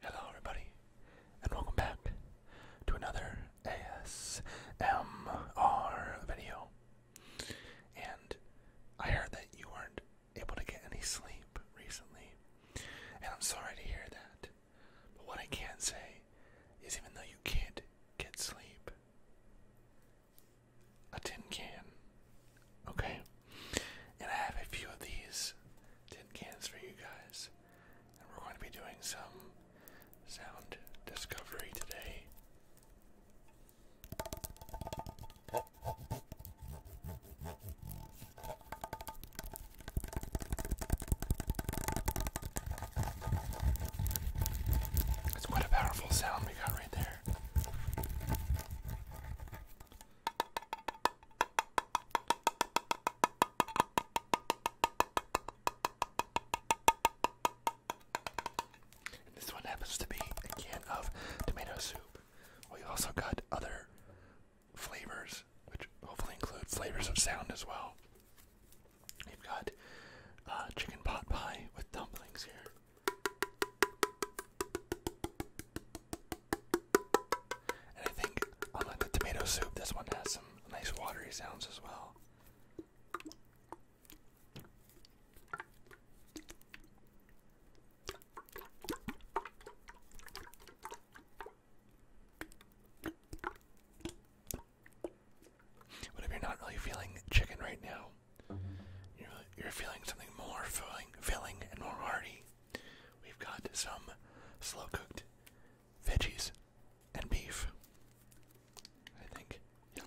Hello, everybody, and welcome back to another ASMR video. And I heard that you weren't able to get any sleep recently, and I'm sorry to hear that. But what I can say is, even though you can't get sleep, a tin can. Okay? And I have a few of these tin cans for you guys. And we're going to be doing some sound discovery today. That's quite a powerful sound we got right there this one happens to be a can of tomato soup. We also got other flavors, which hopefully include flavors of sound as well. You've got uh, chicken pot pie with dumplings here. And I think, unlike tomato soup, this one has some nice watery sounds as well. But if you're not really feeling chicken right now, you're, feeling something more filling, filling and more hearty. We've got some slow cooked veggies and beef. I think. Yeah.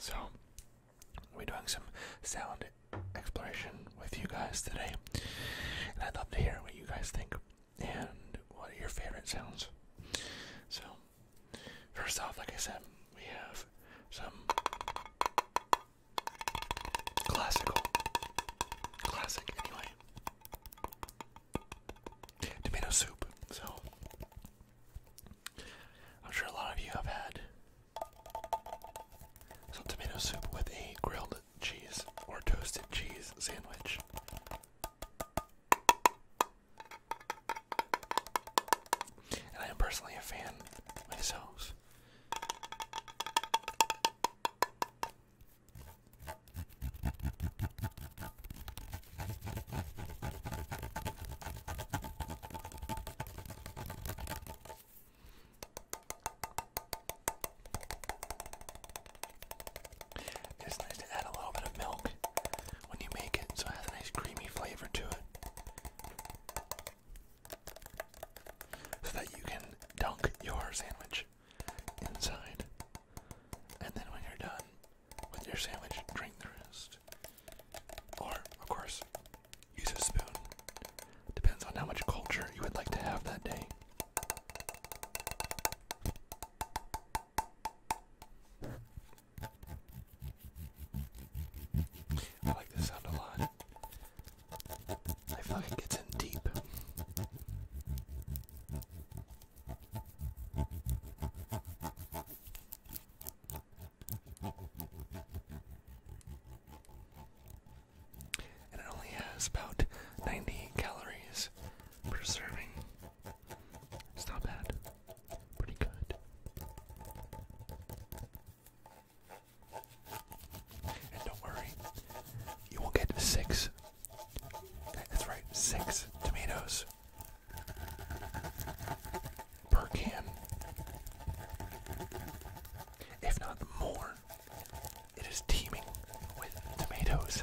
So, we're doing some sound exploration with you guys today, and I'd love to hear what you guys think and what are your favorite sounds. So, first off, like I said, we have some Classical. Classic, anyway. Tomato soup. So, I'm sure a lot of you have had some tomato soup with a grilled cheese or toasted cheese sandwich. And I am personally a fan myself. It's nice to add a little bit of milk when you make it so it has a nice creamy flavor to it so that you can dunk your sandwich inside. And then when you're done with your sandwich, drink the rest. Or, of course, use a spoon. Depends on how much culture you would like to have that day. I like this sound a lot. I They fucking gets in deep. And it only has about 90 calories per serving. It's not bad. Pretty good. And don't worry, you will get six. That's right, six tomatoes per can. If not more, it is teeming with tomatoes.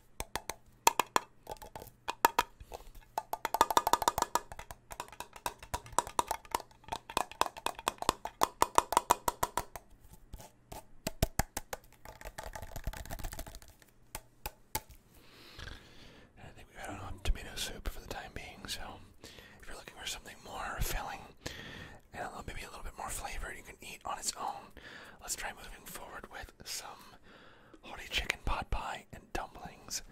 And I think we've had enough tomato soup for the time being, so if you're looking for something more filling and maybe a little bit more flavor, you can eat on its own. Let's try moving forward with some hearty chicken pot pie and dumplings.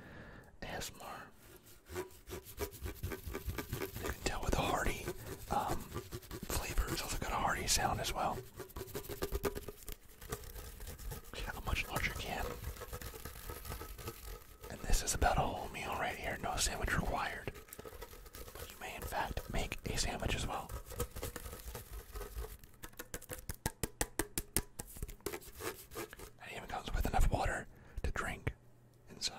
ASMR. You can tell with the hearty um, flavor, it's also got a hearty sound as well. A much larger can. And this is about a whole meal right here, no sandwich required. But you may, in fact, make a sandwich as well. And it even comes with enough water to drink inside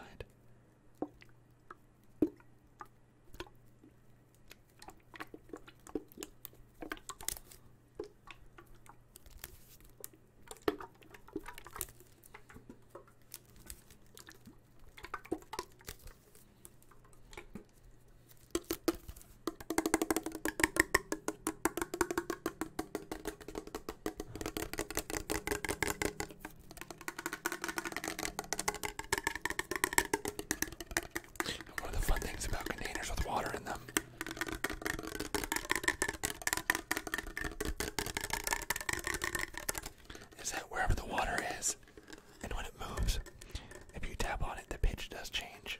one of the fun things about containers with water in them is that wherever the water is, and when it moves, if you tap on it, the pitch does change.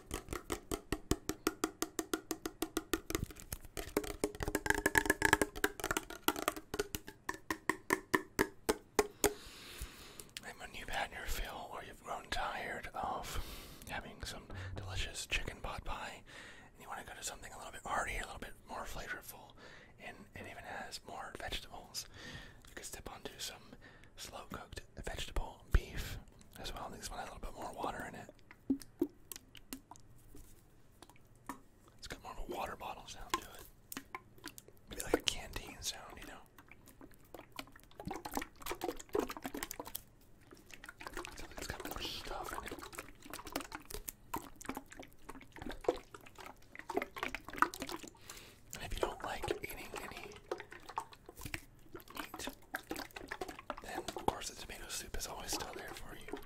And when you've had your fill or you've grown tired of having some delicious chicken pot pie and you want to go to something a little bit hearty, a little bit more flavorful, and it even has more vegetables, you can step onto some slow cooked vegetable beef as well. This one has a little bit more water in it. It's got more of a water bottle sound to it. Maybe like a canteen sound, you know? So it's got more stuff in it. And if you don't like eating any and of course, the tomato soup is always still there for you.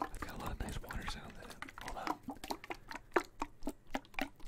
I've got a lot of nice water sounds in it. Hold on.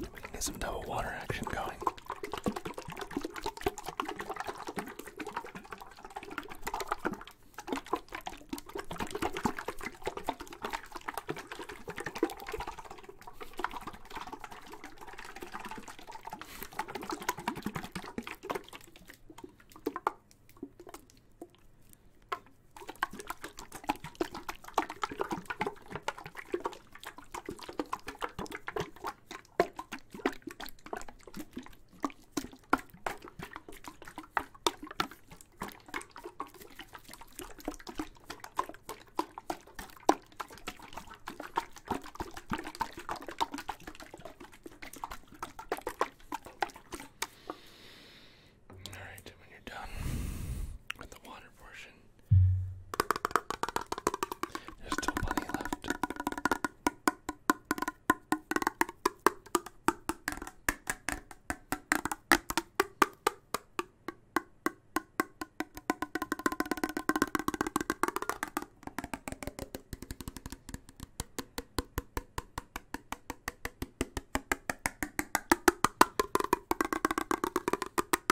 We can get some double water action going. All right, when you're done with the water portion, there's still plenty left.